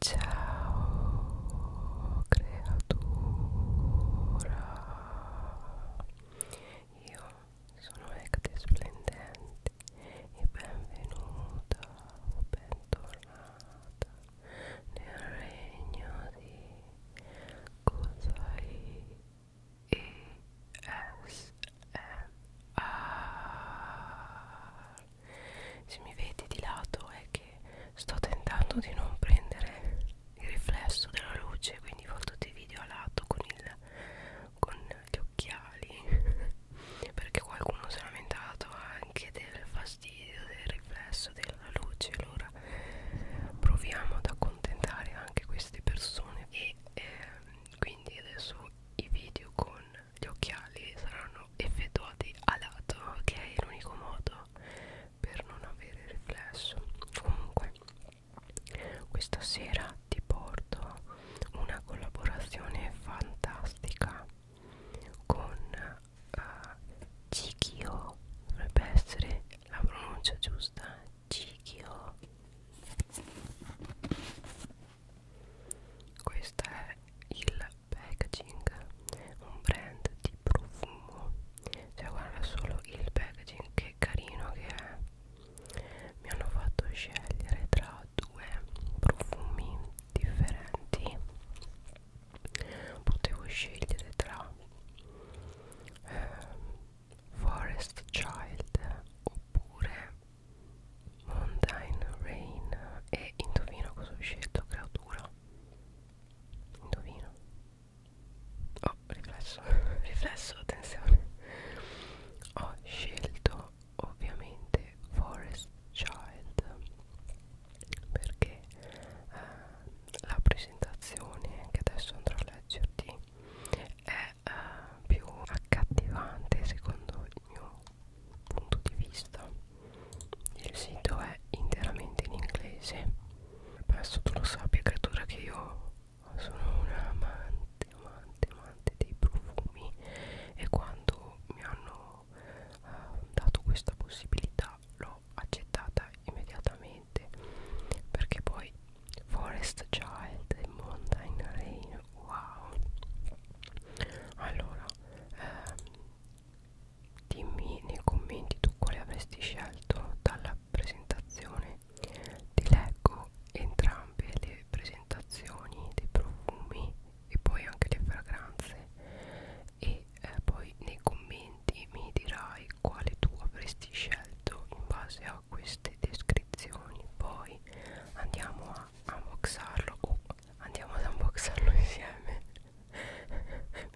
Ciao creatura, io sono Ecte Splendente e benvenuta o bentornata nel regno di Kusai ESMR se mi vedi di lato è che sto tentando di non prendere il riflesso della luce quindi fa tutti i video a lato con, il, con gli occhiali perché qualcuno si è lamentato anche del fastidio del riflesso della luce allora proviamo ad accontentare anche queste persone e eh, quindi adesso i video con gli occhiali saranno effettuati a lato che è l'unico modo per non avere riflesso comunque questa sera ti porto una collaborazione fantastica con uh, eh, Chikio dovrebbe essere la pronuncia giusta Chikio questo è il packaging un brand di profumo cioè guarda solo il packaging che carino che è mi hanno fatto scegliere tra due profumi differenti potevo scegliere tra eh, Forest Child oppure Mountain Rain e indovina cosa ho scelto creatura indovina oh riflesso riflesso attenzione ho scelto ovviamente Forest Child perché eh, la presentazione che adesso andrò a leggerti è eh, più accattivante secondo il mio punto di vista il sito è interamente in inglese penso tu lo sappia creatura che io sono un amante amante amante dei profumi e quando mi hanno uh, dato questa possibilità l'ho accettata immediatamente perché poi Forest Child e Mountain Rain wow allora ehm, dimmi nei commenti tu quale avresti scelto dalla presentazione ti leggo entrambe le presentazioni dei profumi e poi anche le fragranze e eh, poi nei commenti mi dirai quale tu avresti scelto in base a queste descrizioni poi andiamo a unboxarlo o andiamo ad unboxarlo insieme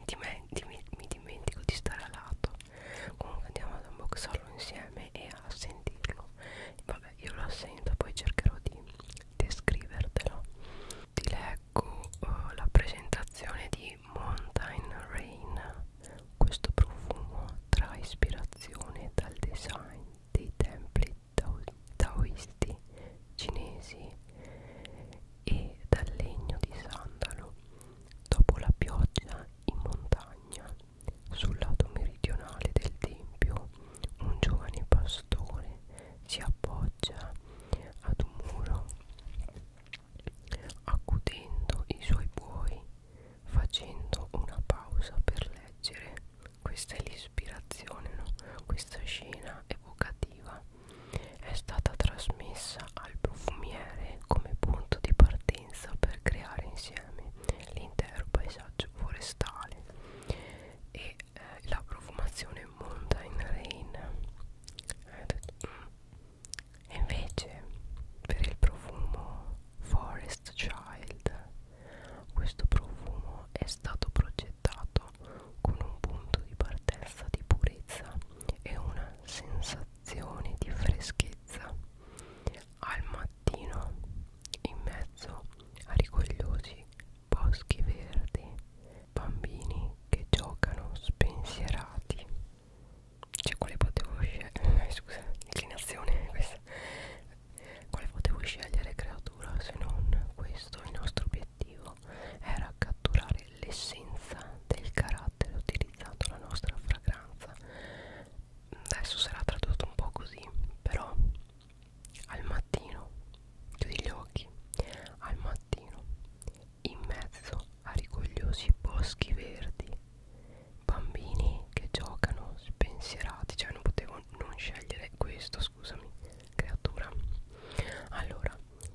mi, dimen mi, mi dimentico di stare a lato comunque andiamo ad unboxarlo insieme e a sentirlo vabbè io lo sento poi cercherò di descrivertelo ti leggo uh, la presentazione di Mountain Rain questo profumo tra ispirazione dal design dei templi tao taoisti cinesi e dal legno di sandalo dopo la pioggia in montagna sul lato meridionale del tempio un giovane pastore si appoggia ad un muro accudendo i suoi buoi facendo una pausa per leggere questa è l'ispirazione, no? Questa scena evocativa è stata trasmessa al profumiere come punto di partenza per creare insieme l'intero paesaggio forestale e eh, la profumazione Mountain Rain. Eh, mm. E invece per il profumo Forest Child questo profumo è stato progettato progettato con un punto di partenza di purezza e una sensazione di freschezza al mattino in mezzo a rigogliosi boschi verdi bambini che giocano spensierati cioè quale potevo scegliere eh, scusa inclinazione questa quale potevo scegliere creatura se non questo? Il nostro obiettivo era catturare l'essenza del carattere utilizzando la nostra fragranza. Adesso sarà tradotto un po' così, però al mattino, chiudi gli occhi, al mattino, in mezzo a rigogliosi boschi verdi, bambini che giocano spensierati, cioè non potevo non scegliere questo scusami creatura allora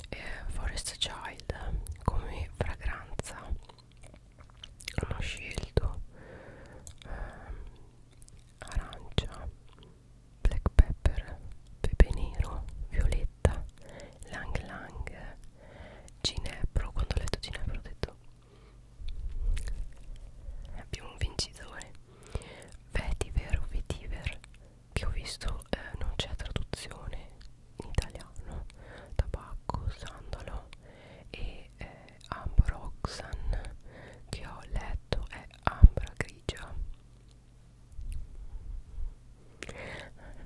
eh, Forest Child come fragranza hanno scelto ehm, arancia black pepper pepe nero violetta lang lang ginepro quando ho letto ginepro ho detto abbiamo un vincitore vetiver o vetiver che ho visto eh, non c'è traduzione in italiano tabacco, sandalo e eh, ambroxan che ho letto è ambra grigia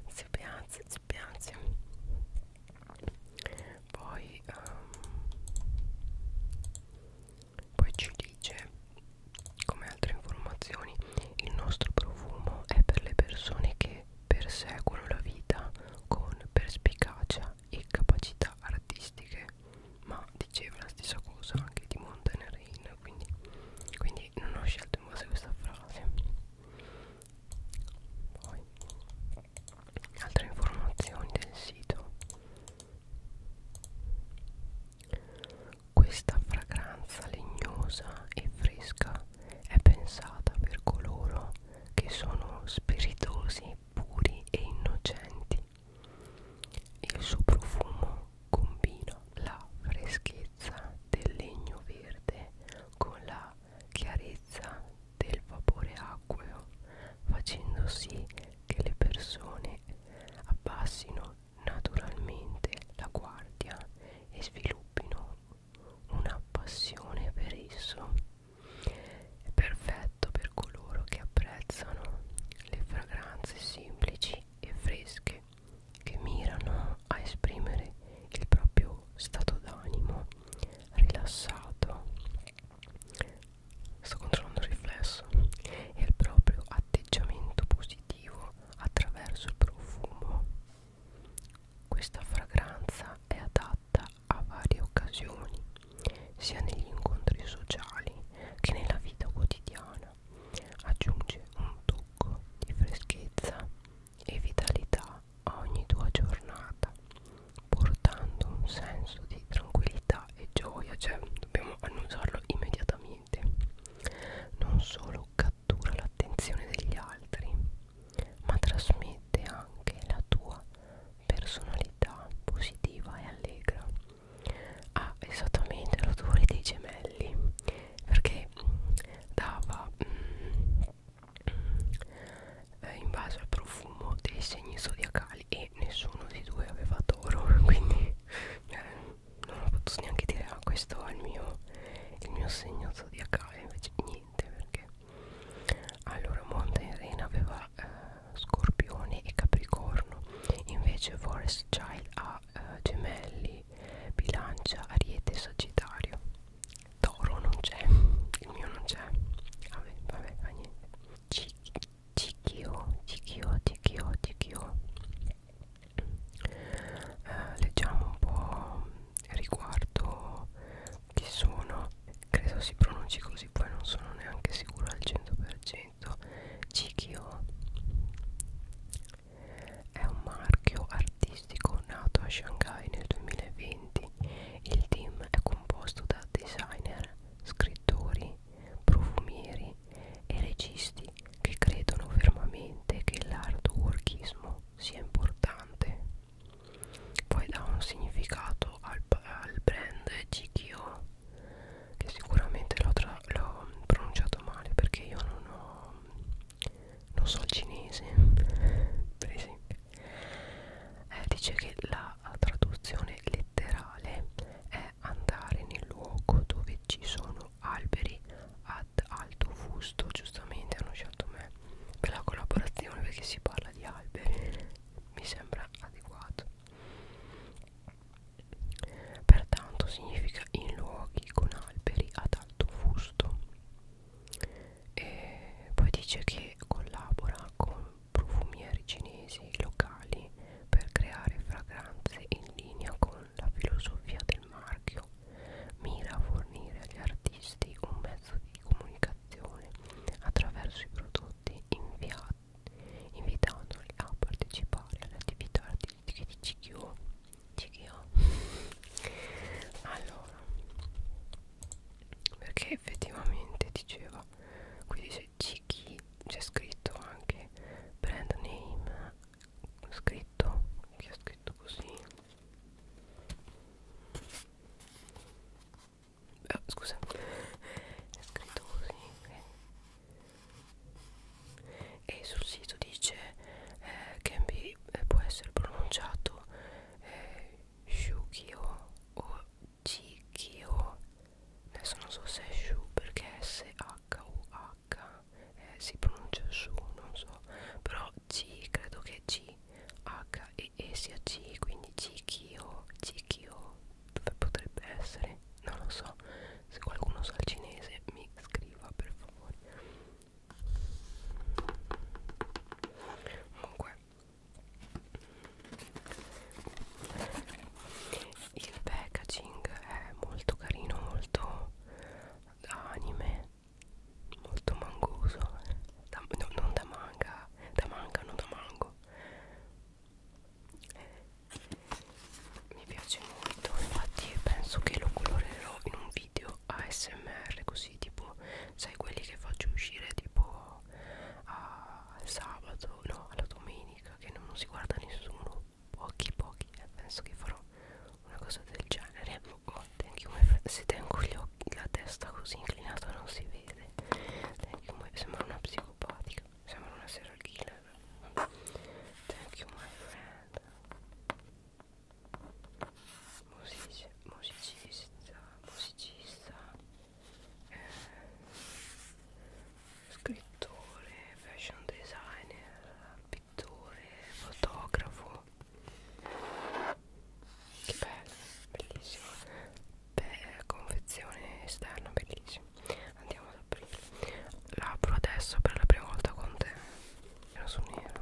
si piange, si piange poi um, poi ci dice come altre informazioni il nostro profumo è per le persone che perseguono la vita con perspicacia e capacità artistiche ma diceva la stessa cosa anche di Mountain Rain quindi, quindi non ho scelto in base a questa frase poi altre informazioni del sito questa fragranza legnosa e fresca è pensata per coloro che sono spiritosi, puri e innocenti. Il suo profumo combina la freschezza del legno verde con la chiarezza del vapore acqueo, facendo sì che le persone abbassino naturalmente la guardia e sviluppino una passione per esso. È perfetto per coloro che apprezzano le fragranze semplici e fresche che mirano a esprimere il proprio stato d'animo rilassato sto controllando il riflesso e il proprio atteggiamento positivo attraverso il profumo questa fragranza è adatta a varie occasioni sia negli incontri sociali che nella vita quotidiana aggiunge un tocco di freschezza e vitalità a ogni tua giornata portando un senso di tranquillità e gioia, cioè dobbiamo annunciarlo immediatamente. Non solo cattura l'attenzione degli altri, ma trasmette anche la tua personalità positiva e allegra. Ha ah, esattamente l'odore dei gemelli, perché dava mm, eh, in base al profumo dei segni zodiacali mondiali e nessuno dei due aveva toro quindi eh, non ho potuto neanche dire ah questo è il mio, il mio segno zodiacale invece niente perché allora Mountain Rain aveva eh, scorpione e capricorno invece Forest Child ha eh, gemelli bilancia ariete e sagittario toro non c'è il mio non c'è vabbè vabbè fa niente C Chikyo, Chikyo, Chikyo, Chikyo. Eh, leggiamo un po' riguardo chi sono, credo si pronunci così, poi non sono neanche sicuro al 100%. Chikyo è un marchio artistico nato a Shanghai nel 2020. Il team è composto da designer, scrittori scrittori, profumieri e registi che credono fermamente che l'hardworkismo sia importante. Poi dà un significato al, al brand GKO, che sicuramente l'ho pronunciato male perché io non ho non so il cinese per esempio eh, dice che la traduzione letterale è andare nel luogo dove ci sono alberi ad alto fusto giustamente hanno scelto me per la collaborazione perché si parla di alberi mi sembra adeguato pertanto significa in luoghi con alberi ad alto fusto e poi dice che collabora con profumieri cinesi locali per creare fragranze in linea con la filosofia del marchio mira a fornire agli artisti un mezzo di comunicazione attraverso i prodotti inviati invitandoli a partecipare alle attività artistiche di CQ CQ allora perché effettivamente diceva qui dice Chiki c'è scritto anche brand name scritto che è scritto così ah, scusa è scritto così e sul sito dice eh, can be, eh, può essere pronunciato eh, shukio o Chikyo oh. adesso non so se è Shu perché S-H-U-H eh, si pronuncia Shu non so però C credo che C H e E sia C quindi Chikyo oh, Chikyo oh. dove potrebbe essere non lo so se qualcuno sa il cinese mi scriva per favore comunque il packaging è molto carino molto da anime molto mangoso da, no, non da manga da manga non da mango mi piace molto infatti penso che lo colorerò in un video ASMR così tipo sai quelli che faccio uscire tipo a al sabato, no, alla domenica che non si guarda nessuno, pochi pochi, eh, penso che farò una cosa del genere. Oh, thank you my friend. Se tengo gli occhi, la testa così inclinata non si vede. Thank you my sembra una psicopatica, sembra una serial killer. Thank you my friend. Musicista, musicista, musicista eh, scrittore, fashion designer, pittore, fotografo. Che bello, bellissimo. Beh, confezione esterna, bellissimo. Andiamo ad aprire. L'apro adesso per la prima volta con te. Nero su nero.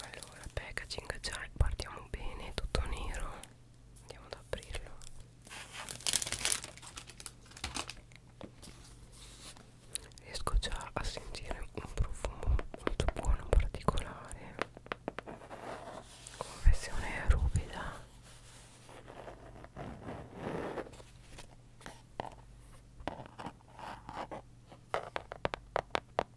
allora packaging già partiamo bene tutto nero andiamo ad aprirlo riesco già a sentire un profumo molto buono particolare confezione ruvida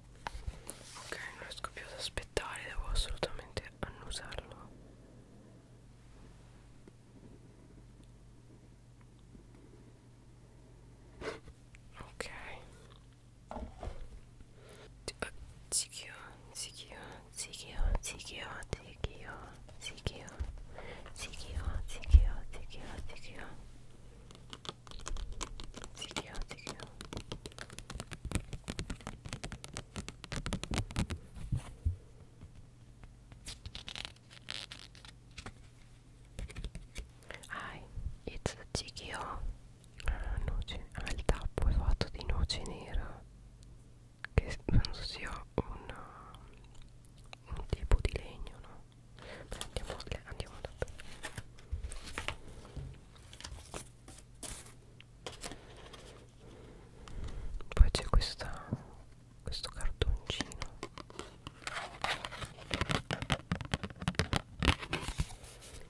Ok, non riesco più ad aspettare, devo assolutamente annusarlo. Ok. Eh, zikio, zikio, zikio, zikio, zikio, zikio, zikio, zikio, zikio, zikio psichiatrica Hi, it's Chikio ah, noce, ah, il tappo è fatto di noce nera che penso sia una, um, un tipo di legno, no? Beh, andiamo, andiamo da qui poi c'è questa questo cartoncino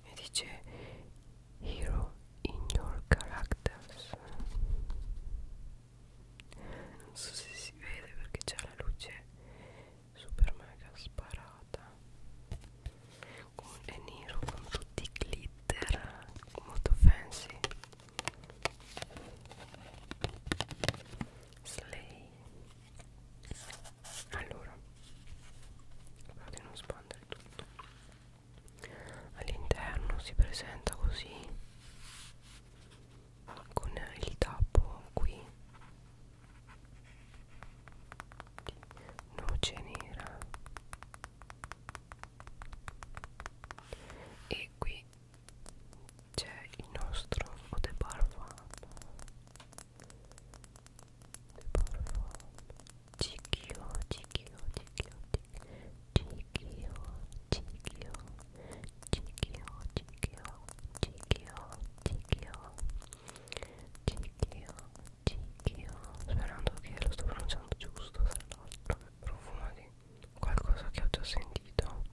e dice hero in your characters non so se si vede perché c'è la luce super mega sparata con, è nero con tutti i glitter molto fancy slay allora vado di non spandere tutto all'interno si presenta così con il tappo qui noce nera e qui c'è il nostro o The Bar Cicchio, cicchio, cicchio, cicchio, cicchio, cicchio, cicchio, cicchio, cicchio, cicchio, Cicchio Sperando che lo sto pronunciando giusto tra l'altro Profumo di qualcosa che ho già sentito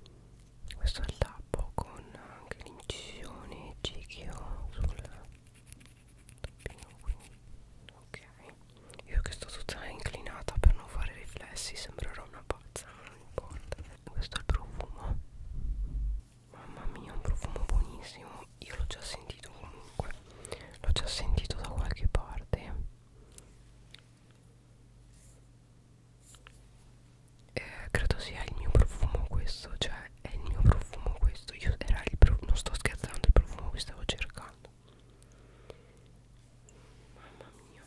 Questo è il tappo con anche l'incisione Cicchio sul tappino qui Ok Io che sto tutta inclinata per non fare riflessi Sembrerò una pazza, non importa Questo è il profumo Mamma mia, un profumo buonissimo. Io l'ho già sentito comunque. L'ho già sentito da qualche parte. Eh, credo sia il mio profumo questo. Cioè, è il mio profumo questo. Io era il profumo. Non sto scherzando, il profumo che stavo cercando. Mamma mia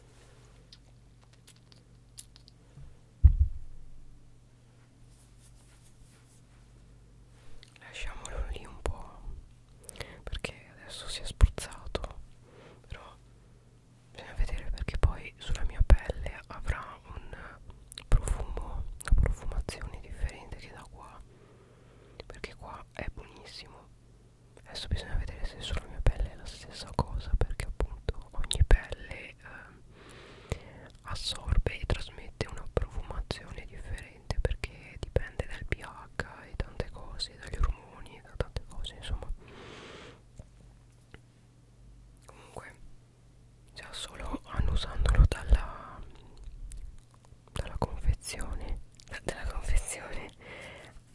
lasciamolo lì un po' perché adesso si è spruzzato però bisogna vedere perché poi sulla mia pelle avrà un profumo una profumazione differente che da qua perché qua è buonissimo adesso bisogna vedere se sulla mia pelle è la stessa cosa perché appunto ogni pelle eh, assorbe e trasmette una profumazione differente perché dipende dal pH e tante cose, dagli ormoni e da tante cose insomma comunque già solo annusandolo dalla dalla confezione da, dalla confezione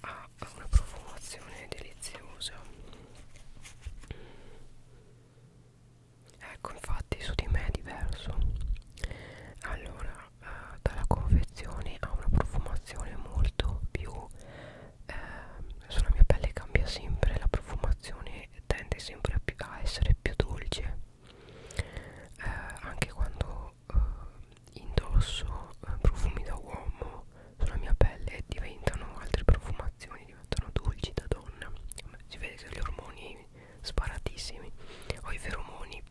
ha una profumazione deliziosa ecco infatti su di me è diverso allora eh, dalla confezione ha una profumazione molto più eh, sulla mia pelle cambia sempre la profumazione tende sempre a, più, a essere più dolce eh, anche quando eh, indosso eh, profumi da uomo sulla mia pelle diventano altre profumazioni diventano dolci da donna si vede che gli ormoni sparatissimi ho i feromoni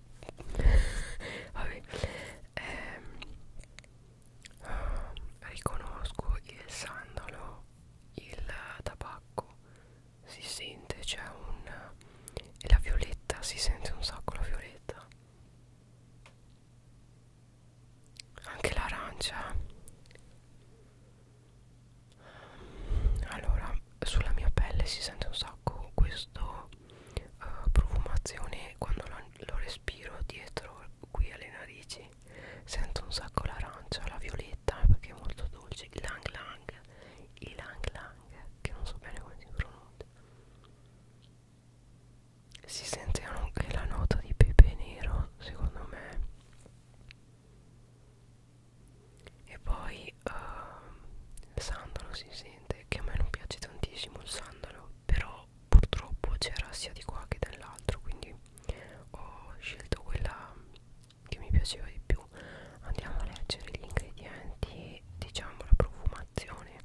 vabbè ehm, ah, riconosco il sandalo il tabacco si sente c'è cioè un e la violetta si sente un sacco la violetta anche l'arancia allora sulla mia pelle si sente un sacco questo uh, profumazione quando lo, lo respiro dietro qui alle narici sento un sacco l'arancia la violetta perché è molto dolce il lang lang il lang lang che non so bene come si pronuncia si sente anche la nota di pepe nero secondo me e poi uh, sandalo si sente che a me non piace tantissimo il sandalo però purtroppo c'era sia di qua che dall'altro quindi ho scelto quella che mi piaceva di più andiamo a leggere gli ingredienti diciamo la profumazione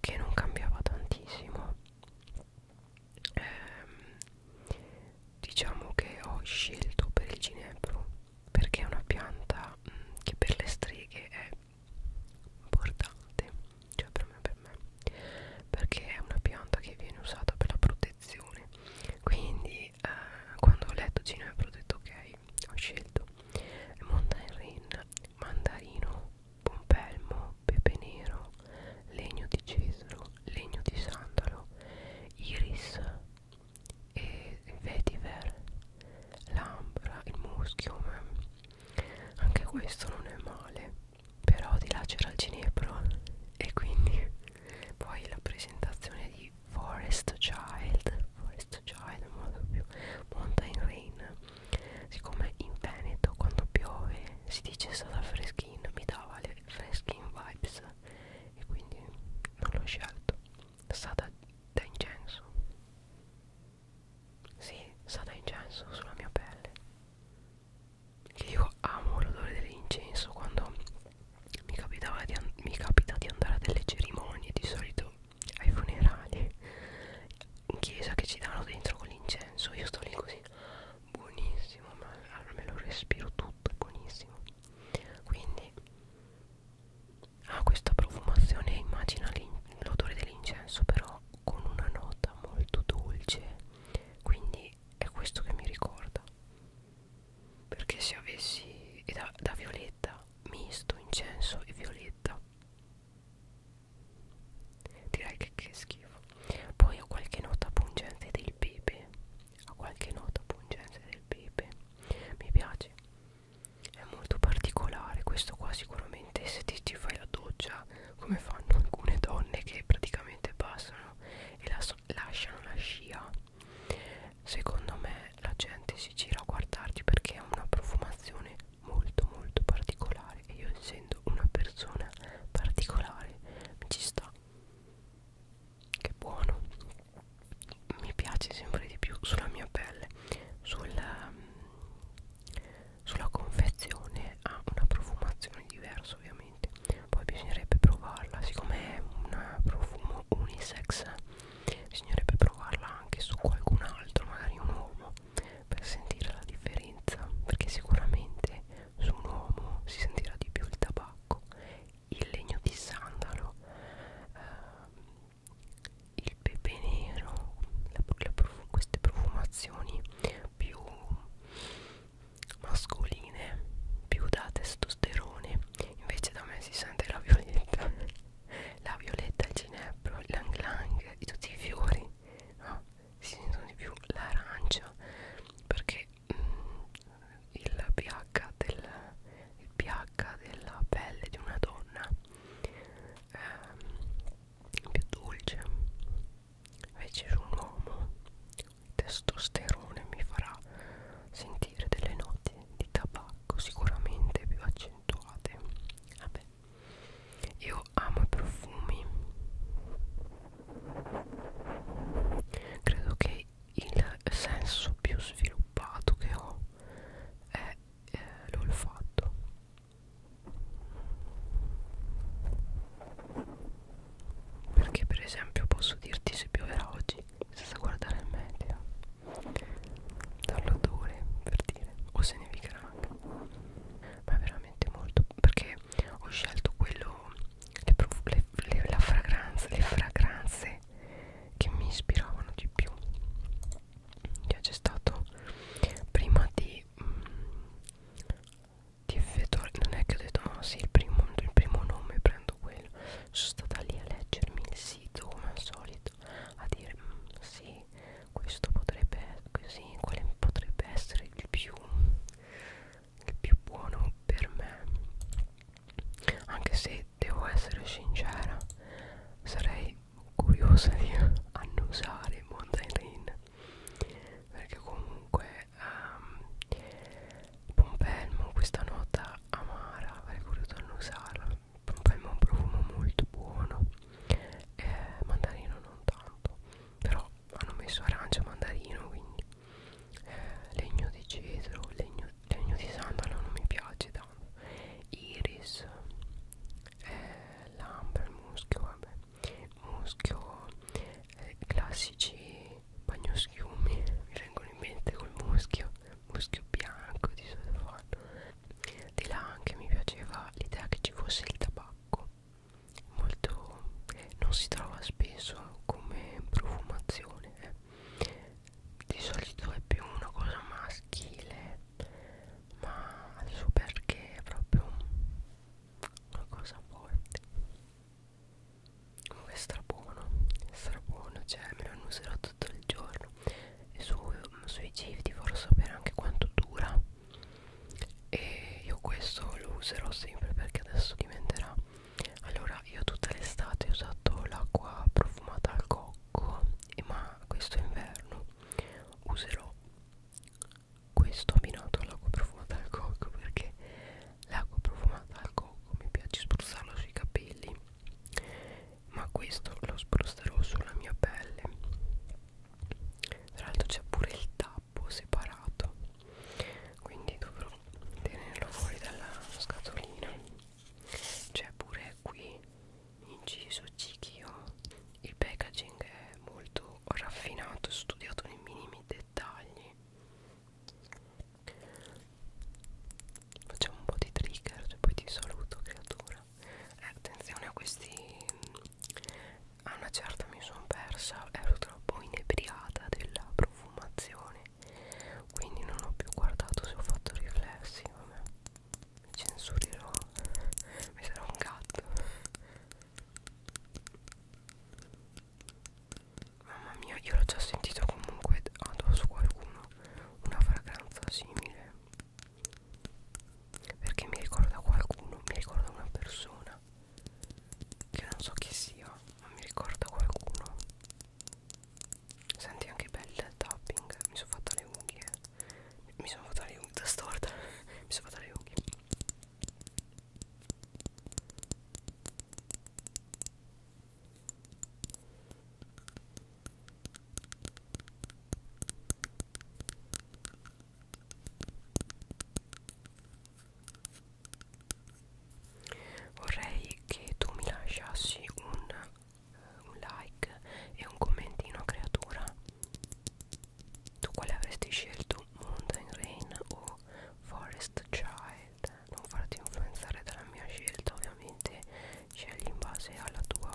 che non cambiava tantissimo ehm, diciamo che ho scelto per il ginepro perché è una pianta mh, mm, che per le streghe è importante cioè per me per me perché è una pianta che viene usata per la protezione quindi eh, quando ho letto ginepro ho detto ok ho scelto mandarin mandarino pompelmo pepe nero legno di cesro legno di sandalo, iris e vetiver, l'ambra, il muschio. Anche questo non è male, però di là c'era il ginepro e quindi poi la presentazione di Forest Child, Forest Child, modo più Mountain Rain. Siccome in Veneto quando piove si dice è stata freschina, mi dava le Reskin Vibes e quindi non l'ho scelto sta da, da incenso si sì, sta da incenso sulla mia pelle io amo l'odore dell'incenso quando mi, capitava di mi capita di andare a delle cerimonie di solito ai funerali in chiesa che ci danno dentro con l'incenso io sto lì così buonissimo ma allora me lo respiro tutto è buonissimo quindi ha ah, questa profumazione immagina l'odore dell'incenso però con una nota molto dolce quindi è questo che mi ricorda perché se avessi eh, da, da violetta misto incenso e violetta direi che, che schifo poi ho qualche nota pungente del pepe ho qualche nota pungente del pepe mi piace è molto particolare questo qua sicuramente se ti, ti fai la doccia come fanno alcune donne che praticamente passano e la, lasciano la scia secondo me la gente si gira a guardarti perché ha una profumazione molto molto particolare e io essendo una persona particolare mi ci sta che buono mi piace sempre di più sulla mia pelle sulla, mm, sulla confezione ha una profumazione diversa ovviamente poi bisognerebbe provarla siccome è un profumo unisex bisognerebbe provarla anche su qualcun altro magari un uomo per sentire la differenza perché sicuramente su un uomo si sentirà di più il tabacco, il legno di sandalo, eh, il pepe nero, la, la profu queste profumazioni più mascoline, più da testosterone, invece da me si sente la violetta, la violetta, il ginepro, l'anglang, tutti i fiori, no? si sentono di più l'arancia perché mm, il, pH del, il pH della pelle di una donna è ehm, più dolce invece su un uomo il testosterone mi farà sentire delle note di tabacco sicuramente più accentuate vabbè io io amo i profumi credo che il senso più sviluppato che ho è eh, l'olfatto perché per esempio posso dirti se pioverà oggi senza guardare il meteo dall'odore per dire o se nevicherà anche ma è veramente molto perché ho scelto quello le, le, le, la fragranza, le fragranze che mi ispiravano di più cioè c'è stato prima di mh, mm, di effettuare non è che ho detto no oh, sì il primo, il primo nome prendo quello sono stata lì a leggermi il sito come al solito a dire mm, sì questo potrebbe così quale potrebbe essere il più più buono per me anche se devo essere sincera sarei curiosa di annusare Mountain Rain perché comunque um, Pompelmo questa nota amara avrei voluto annusarla Pompelmo è un profumo molto buono eh, mandarino non tanto però hanno messo arancia mandarino quindi eh, legno di cedro legno, legno di sandalo non mi piace tanto iris eh, l'ambra il muschio vabbè muschio eh, classici bagnoschiumi mi vengono in mente col muschio muschio bianco di solito fanno di là anche mi piaceva l'idea che ci fosse il tabacco molto non si trova spesso come profumazione eh. di solito è più una cosa maschile ma adesso perché è proprio una cosa forte comunque è strabuono è strabuono cioè me lo userò tutto il giorno e su, sui gifti vorrò sapere anche quanto dura e io questo lo userò sempre perché adesso diventerà allora io tutta l'estate ho usato l'acqua profumata al cocco ma questo inverno userò questo abbinato all'acqua profumata al cocco perché l'acqua profumata al cocco mi piace spruzzarlo sui capelli ma questo lo spruzzerò sulla mia pelle tra l'altro c'è pure il tag tappo separato quindi dovrò tenerlo fuori dalla scatolina c'è pure qui inciso Chikio il packaging è molto raffinato studiato nei minimi dettagli facciamo un po' di trigger e poi ti saluto creatura eh, attenzione a questi a ah, una certa mi sono persa ero troppo inebriata della profumazione quindi non ho più guardato se ho fatto riflessi vabbè mi censurerò mi sarà un gatto mamma mia io l'ho già sentito comunque addosso qualcuno una fragranza simile perché mi ricorda qualcuno mi ricorda una persona che non so chi sia ma mi ricorda qualcuno senti anche bella il tapping mi sono fatta le unghie mi sono fatta le unghie da storta mi sono fatta le unghie vorrei che tu mi lasciassi un, eh, un like e un commentino creatura tu quale avresti scelto Mountain Rain o Forest Child non farti influenzare dalla mia scelta ovviamente scegli in base alla tua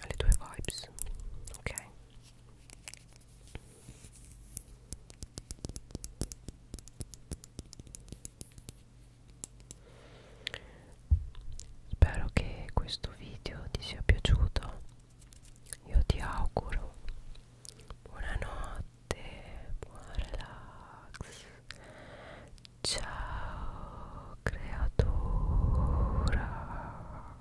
alle tue vibes ok Spero che questo video ti sia piaciuto. Io ti auguro buonanotte, buon relax. Ciao creatura.